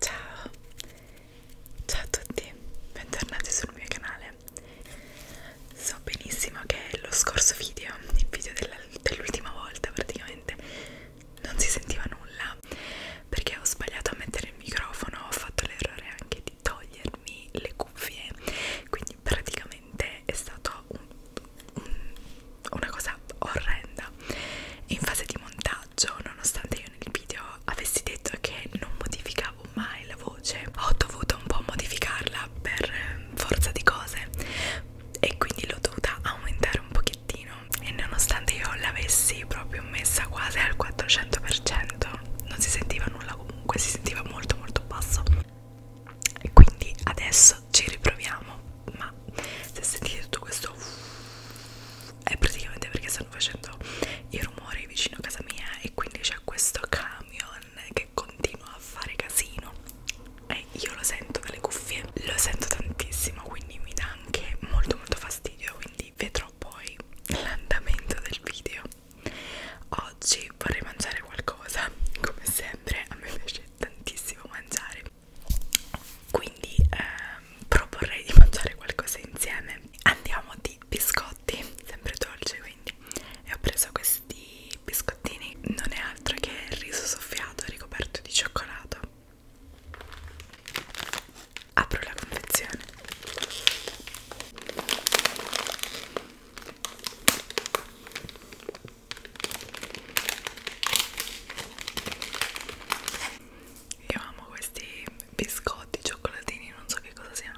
Ciao, ciao a tutti, bentornati sul mio canale male so benissimo che lo scorso video il video dell'ultima dell volta praticamente non si sentiva nulla perché ho sbagliato a mettere il microfono ho fatto l'errore anche di togliermi le cuffie quindi praticamente è stato un, un, una cosa orrenda in fase di montaggio nonostante io nel video avessi detto che non modificavo ascoltavo mai la voce ho dovuto un po' modificarla per eh, forza di cose e quindi l'ho dovuta aumentare un pochettino e nonostante io l'avessi proprio messa quasi al 400% non si sentiva nulla comunque si sentiva molto molto basso e quindi adesso ci riproviamo ma se sentite tutto questo è praticamente perché stanno facendo i rumori vicino a casa mia e quindi c'è questo camion che continua a fare casino e io lo sento dalle cuffie, lo sento tantissimo quindi mi dà anche molto molto fastidio quindi vedrò poi l'andamento del video oggi vorrei mangiare qualcosa come sempre a me piace tantissimo mangiare quindi ehm, proporrei di mangiare qualcosa insieme andiamo di biscotti biscotti sempre dolci quindi e ho preso questi biscottini non è altro che il riso soffiato ricoperto di cioccolato apro la confezione io amo questi biscotti, cioccolatini, non so che cosa siano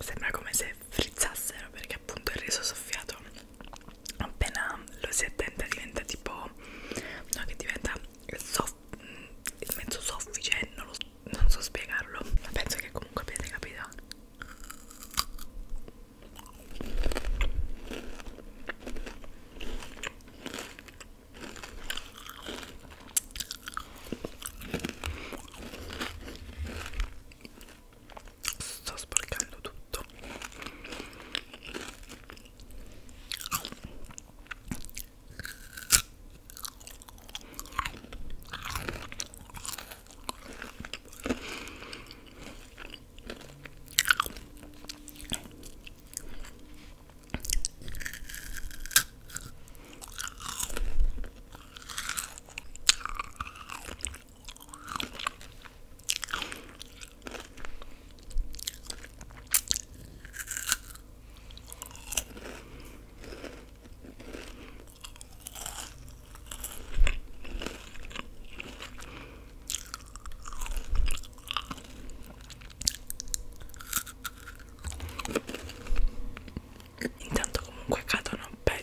sembra come se frizzassero perché appunto il riso soffiato appena lo si attenta diventa tipo no che diventa soff il mezzo soffice non, lo, non so spiegarlo ma penso che comunque abbiate capito sto sporcando tutto Intanto comunque cadono belle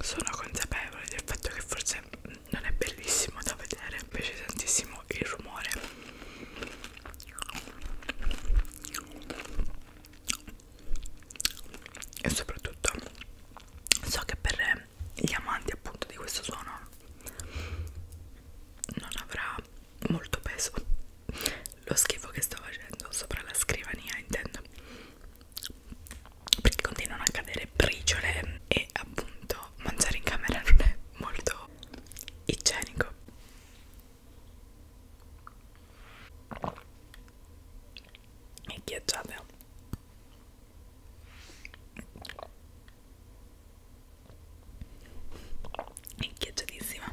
Sono consapevole del fatto che forse non è bellissimo da vedere, invece tantissimo il rumore. E soprattutto so che per gli amanti appunto di questo suono non avrà molto peso lo schifo che sto facendo sopra la scrivania intendo perché continuano a cadere briciole e appunto mangiare in camera non è molto igienico e ghiacciate è ghiacciatissima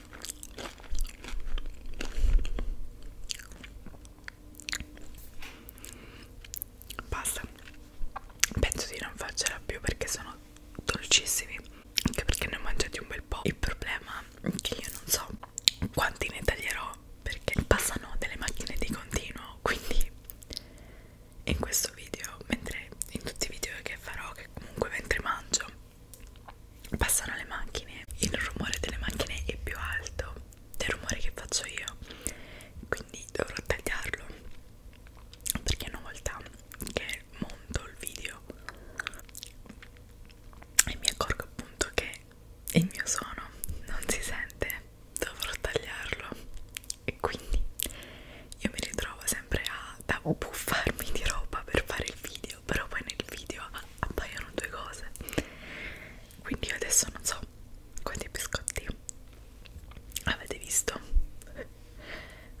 Basta, penso di non farcela più perché sono dolcissimi, anche perché ne ho mangiati un bel po'. Il problema è che io non so quanti ne taglierò perché passano delle macchine di continuo, quindi in questo video, mentre in tutti i video che farò, che comunque mentre mangio passano le macchine il rumore delle macchine è più alto del rumore che faccio io quindi dovrò tagliarlo perché una volta che monto il video e mi accorgo appunto che il mio suono non si sente dovrò tagliarlo e quindi io mi ritrovo sempre a da buffarmi di roba per fare il video video però poi nel video appaiono due cose quindi io adesso non so quanti biscotti avete visto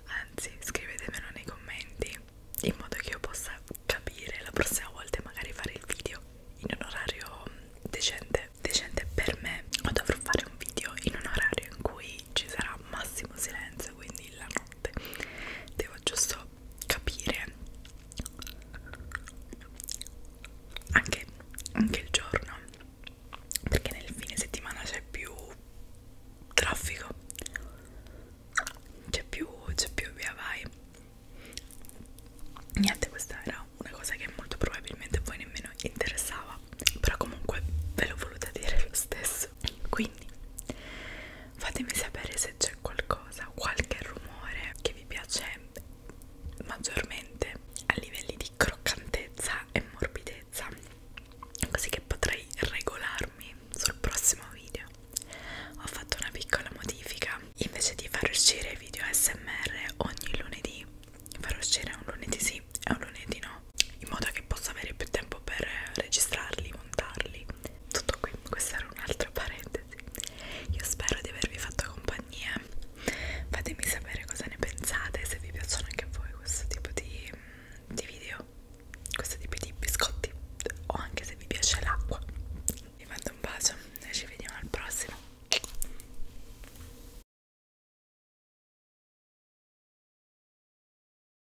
anzi scrivetemelo nei commenti in modo che io possa capire la prossima volta e magari fare il video in un orario decente decente per me o dovrò fare un video in un orario in cui ci sarà massimo silenzio quindi la notte devo giusto capire anche, anche il giorno perché nel fine settimana c'è più traffico c'è più c'è più via vai niente questa era una cosa che molto probabilmente a voi nemmeno interessava però comunque ve l'ho voluta dire lo stesso quindi fatemi sapere se c'è qualcosa qualche rumore che vi piace maggiormente a livelli di croccantezza e morbidezza così che potrei regolarmi sul prossimo video ho fatto una piccola modifica invece di far uscire video smr ogni lunedì farò uscire un lunedì sì e un lunedì no in modo che possa avere più tempo per registrarli montarli tutto qui, questa era un'altra parentesi io spero di avervi fatto compagnia fatemi sapere cosa ne pensate se vi piacciono anche a voi questo tipo di, mm, di video questo tipo di biscotti o anche se vi piace l'acqua vi mando un bacio noi ci vediamo al prossimo